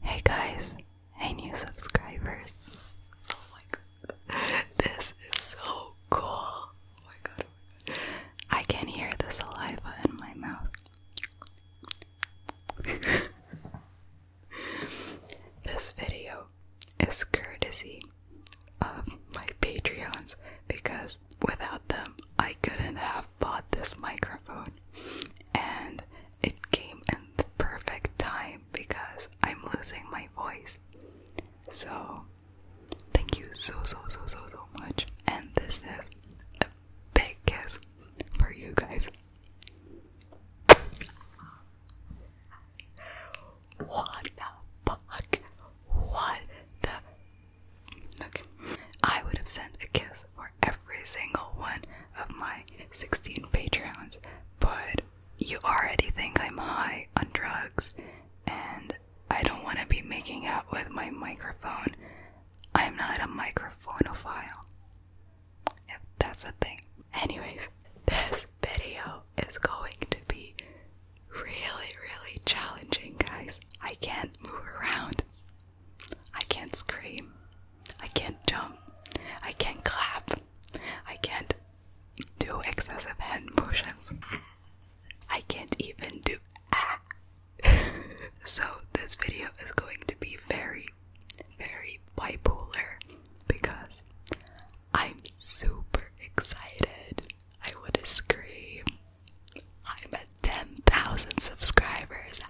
Hey guys, hey new subscribers. Oh this is so cool. Oh oh I can hear the saliva in my mouth. this video is courtesy of my Patreons because without them I couldn't have bought this microphone and it came in the perfect time because I'm losing my voice. So, thank you so, so, so, so, so much. And this is a big kiss for you guys. What the fuck? What the? Okay. I would have sent a kiss for every single one of my 16 Patreons, but you already think I'm high on drugs, and I don't want to be making out with my microphone. I'm not a microphonophile, if that's a thing. Anyways, this video is going to be really, really challenging, guys. I can't move around. I can't scream. I can't jump. I can't clap. I can't do excessive hand motions. I can't even do ah. so this video is going to be very, very bipolar because I'm super excited. I want to scream. I'm a 10 10,000 subscribers.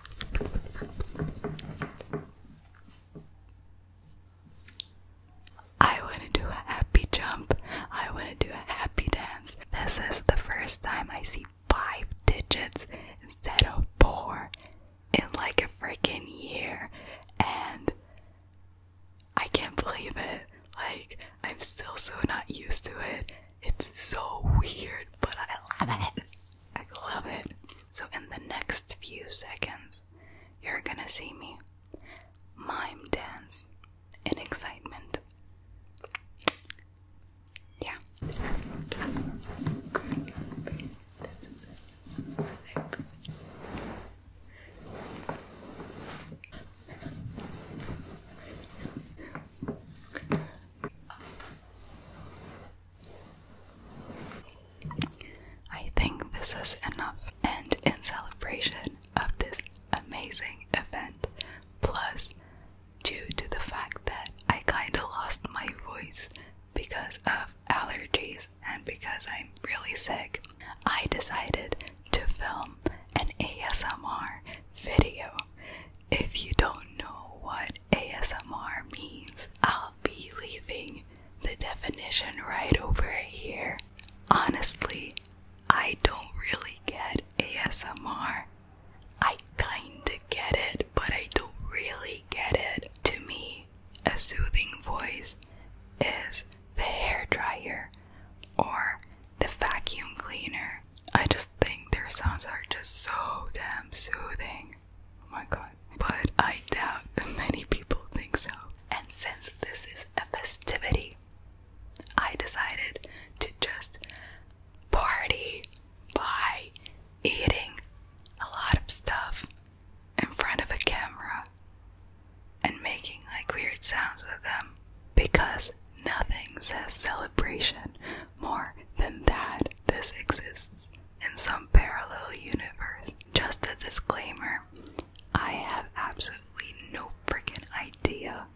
I want to do a happy jump. I want to do a happy dance. This is the first time I see five digits instead of four in like a freaking year. And I can't believe it. Like, I'm still so not used to it. It's so weird, but I love it. I love it. So, in the next few seconds, you're gonna see me mime dance in excitement. Yeah. I think this is enough, and in celebration of this amazing event, plus due to the fact that I kinda lost my voice because of allergies and because I'm really sick, I decided to film an ASMR video if you don't know what ASMR means, I'll be leaving the definition right over here. Honestly, I don't really get ASMR. I kinda get it, but I don't really get it. To me, a soothing voice is the hairdryer or the vacuum cleaner. I just think their sounds are just so damn soothing. Oh my god. But I doubt many people think so. And since this is a festivity, I decided to just party by eating a lot of stuff in front of a camera and making like weird sounds with them because nothing says celebration more than that this exists in some parallel universe. Just a disclaimer I have absolutely no freaking idea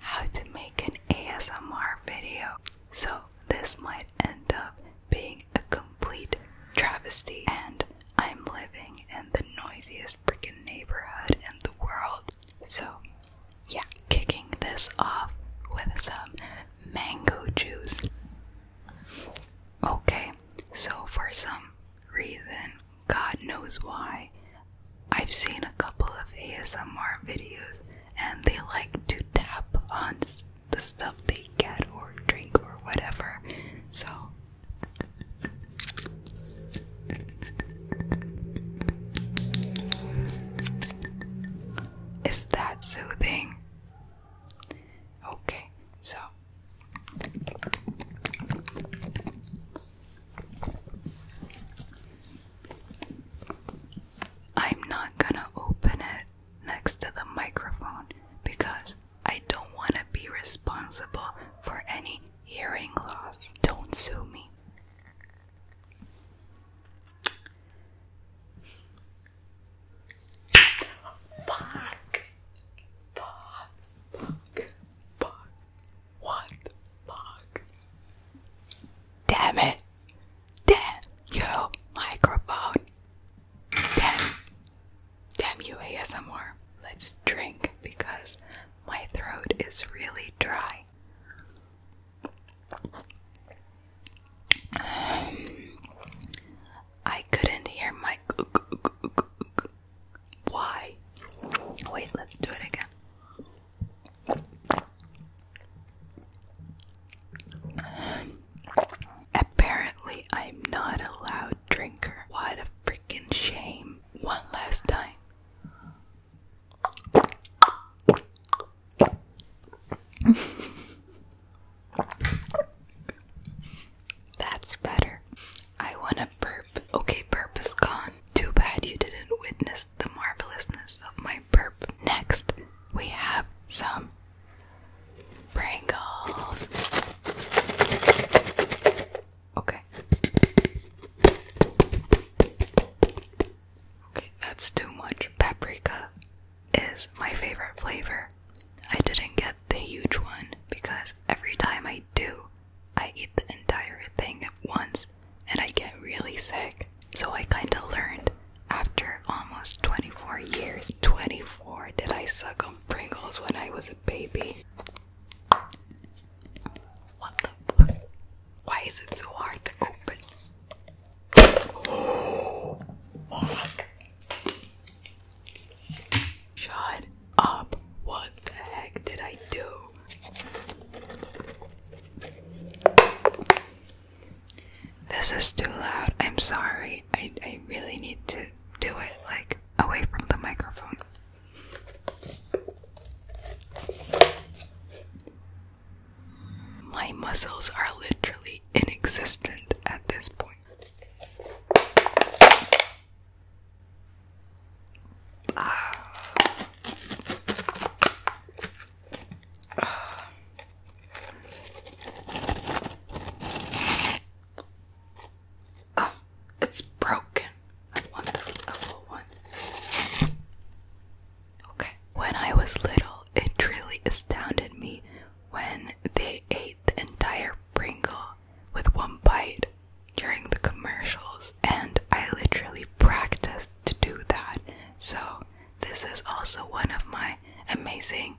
how to make an ASMR video, so this might end up being a complete travesty. And I'm living in the noisiest freaking neighborhood in the world, so yeah, kicking this off with some mango juice. Okay, so for some reason, God knows why, I've seen a couple of ASMR videos and they like to tap on the stuff they get or drink or whatever. So. Is that soothing? Okay, so I'm not gonna open it next to the microphone because I don't want to be responsible for any hearing loss. Don't sue me. Fuck! Fuck! Fuck! Fuck! What the fuck? Damn it! Damn you, microphone! Damn! Damn you, ASMR. Let's drink because my throat is really dry. I couldn't hear my why? Wait, let's do it again. Apparently, I'm not a loud drinker. What a freaking shame. One last time. That's better. I want to burp. Okay, burp is gone. Too bad you didn't witness the marvelousness of my burp. Next, we have some Pringles. Okay. Okay, that's too much. Paprika is my favorite flavor. I didn't get the huge one because every time I do, I eat the entire thing at once and I get really sick. So I kind of learned after almost 24 years. 24 did I suck on Pringles when I was a baby? What the Why is it so hard to open? Shut up. What the heck did I do? This is too loud. I'm sorry. I, I really need to do it like away from the microphone. My muscles are literally in inexistent at this point. Uh, uh. it's broken. I want a full one. Okay. When I was little, it truly astounded me when they ate the entire Pringle with one bite during the commercials, and I literally practiced to do that. So, this is also one of my amazing,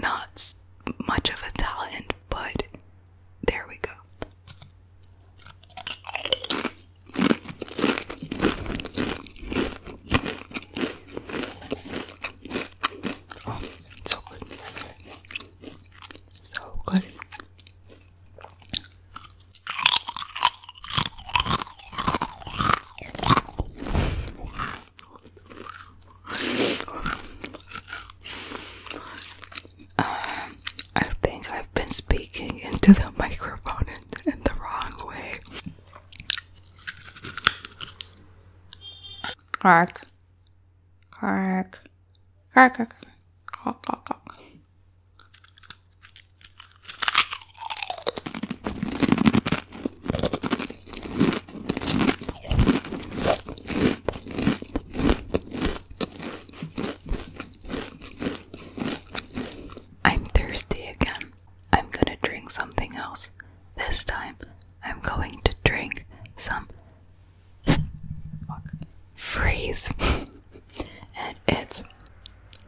not much of a talent, but there we go. Oh, so good. So good. Uh, I think I've been speaking into the microphone in the wrong way. Hark. Hark. Hark. Hark. Hark. Hark. Hark. I'm thirsty again. I'm gonna drink something else. This time, I'm going to drink some freeze. and it's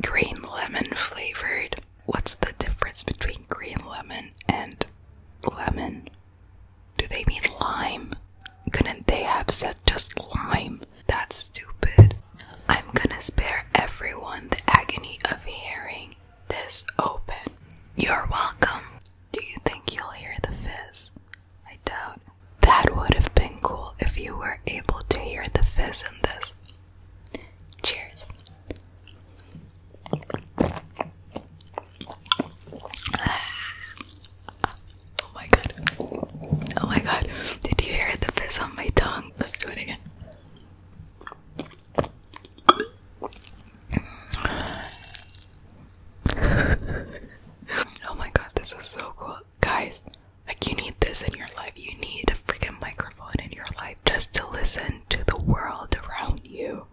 green lemon flavored. What's the difference between green lemon and lemon? Do they mean lime? Couldn't they have said just lime? That's stupid. I'm gonna spare everyone the agony of hearing this open. You're welcome. Do you think you'll hear the fizz? I doubt. That would have been cool if you were able to hear the fizz in this. Cheers. Ah. Oh my god. Oh my god. Did you hear the fizz on my tongue? Let's do it again. oh my god, this is so cool. Guys, like you need this in your life. You need a freaking microphone in your life just to listen to the world around you.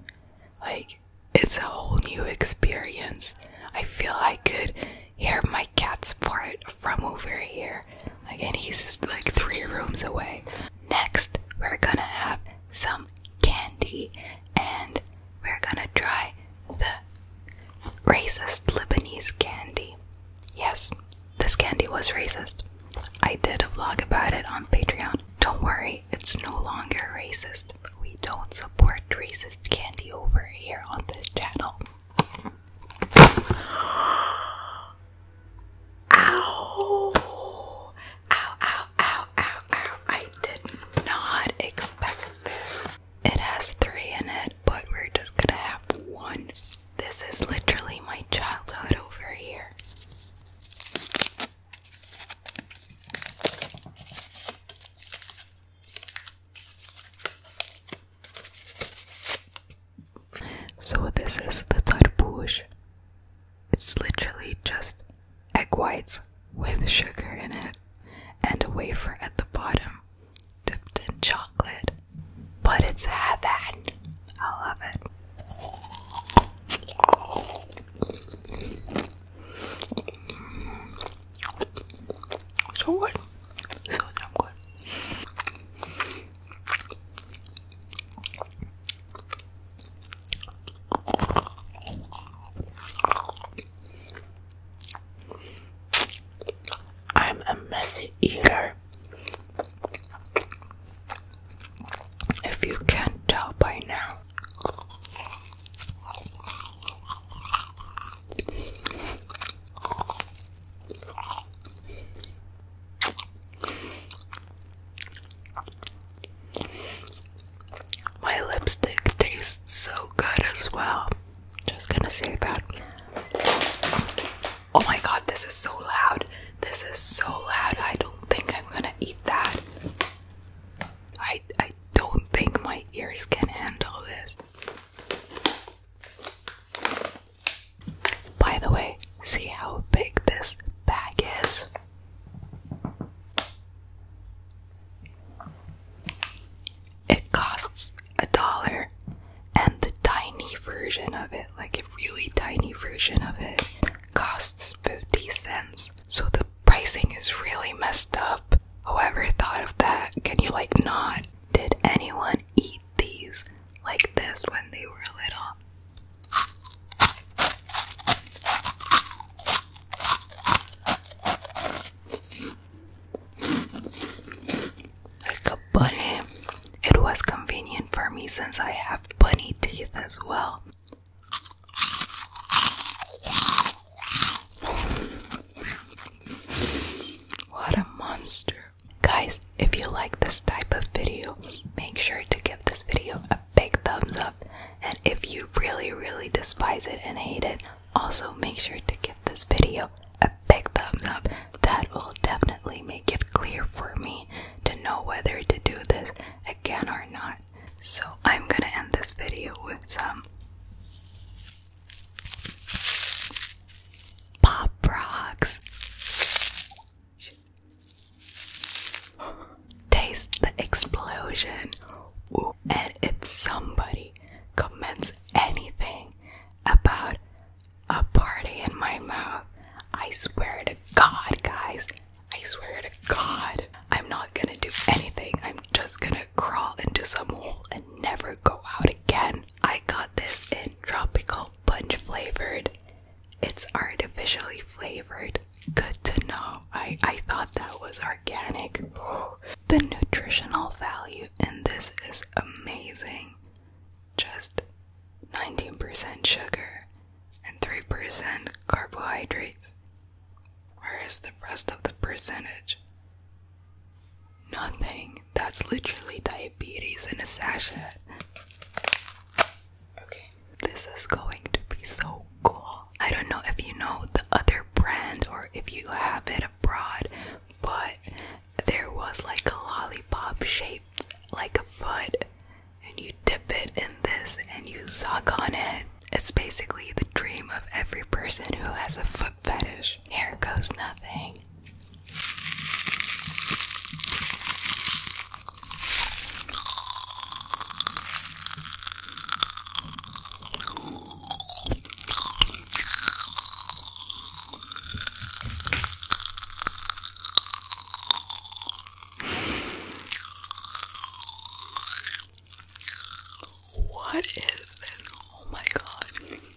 Like, it's a whole new experience. I feel I could hear my cat's for it from over here. Like, and he's like three rooms away. Next, we're gonna have some candy and we're gonna try the racist Lebanese candy. Yes, this candy was racist. I did a vlog about it on Patreon. Don't worry, it's no longer racist. We don't support racist candy over here on this channel. Ow. Ow, ow, ow, ow, I did not expect this. It has three in it, but we're just gonna have one. This is literally my childhood over here. So this is the tarbush. It's literally just egg whites with sugar in it and a wafer at the bottom dipped in chocolate. But it's heaven. I love it. So what? So damn good. I'm a messy eater. If you can't tell by now, my lipstick tastes so good as well. Just gonna say that. Oh my god, this is so loud. This is so loud. I don't think I'm gonna eat that. I I don't think my ears can handle this. By the way, see how big this bag is. It costs a dollar, and the tiny version of it, like a really tiny version of it, costs 50 cents. So the pricing is really messed up. Whoever thought of that, can you like not? Did anyone eat these like this when they were little. Like a bunny. It was convenient for me since I have bunny teeth as well. What a monster. Guys, if you like this type of video, make sure to give this video a big thumbs up. And if you really, really despise it and hate it, also make sure to give this video a big thumbs up. That will definitely make it clear for me to know whether to do this again or not. So I'm gonna end this video with some Pop rocks. Taste the explosion. And if somebody comments anything about a party in my mouth, I swear to God, guys, I swear to God, I'm not gonna do anything. I'm just gonna crawl into some hole and never go out again. I got this in tropical punch flavored. It's artificially flavored. Good to know. I I thought that was organic. The nutritional value in this is amazing. Just 19% sugar and 3% carbohydrates. Where is the rest of the percentage? Nothing. That's literally diabetes and a sachet. Okay. This is going to be so cool. I don't know if you know the other brand or if you have it abroad, but there was like a lollipop shaped like a foot, and you dip it in this and you suck on it. It's basically the dream of every person who has a foot fetish. Here goes nothing. What is this? Oh my god.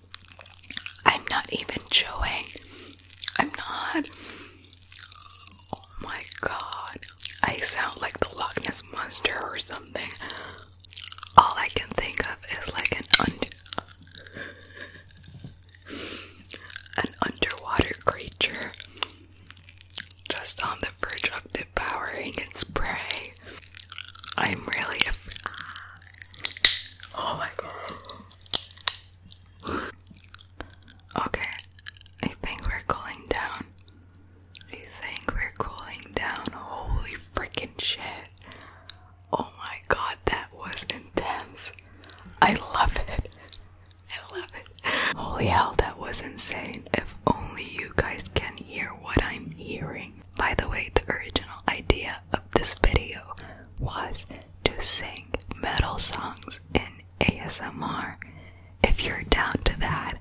I'm not even chewing. I'm not. Oh my god. I sound like the Loch Ness Monster or something. All I can think of is like an an underwater creature just on the verge of devouring its prey. I'm really af Oh my god. Okay, I think we're cooling down. I think we're cooling down. Holy freaking shit. Oh my god, that was intense. I love it. I love it. Holy hell, that was insane. If only you guys can hear what I'm hearing. By the way, the original idea of this video was to sing metal songs in ASMR. If you're down to that,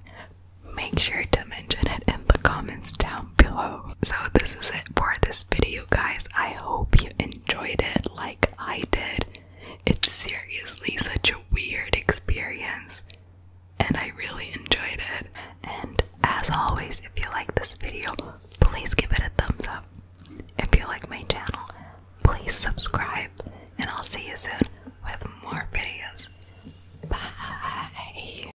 make sure to mention it in the comments down below. So, this is it for this video, guys. I hope you enjoyed it like I did. It's seriously such a weird experience, and I really enjoyed it. And as always, if you like this video, please give it a thumbs up. If you like my channel, please subscribe, and I'll see you soon with more videos. Bye.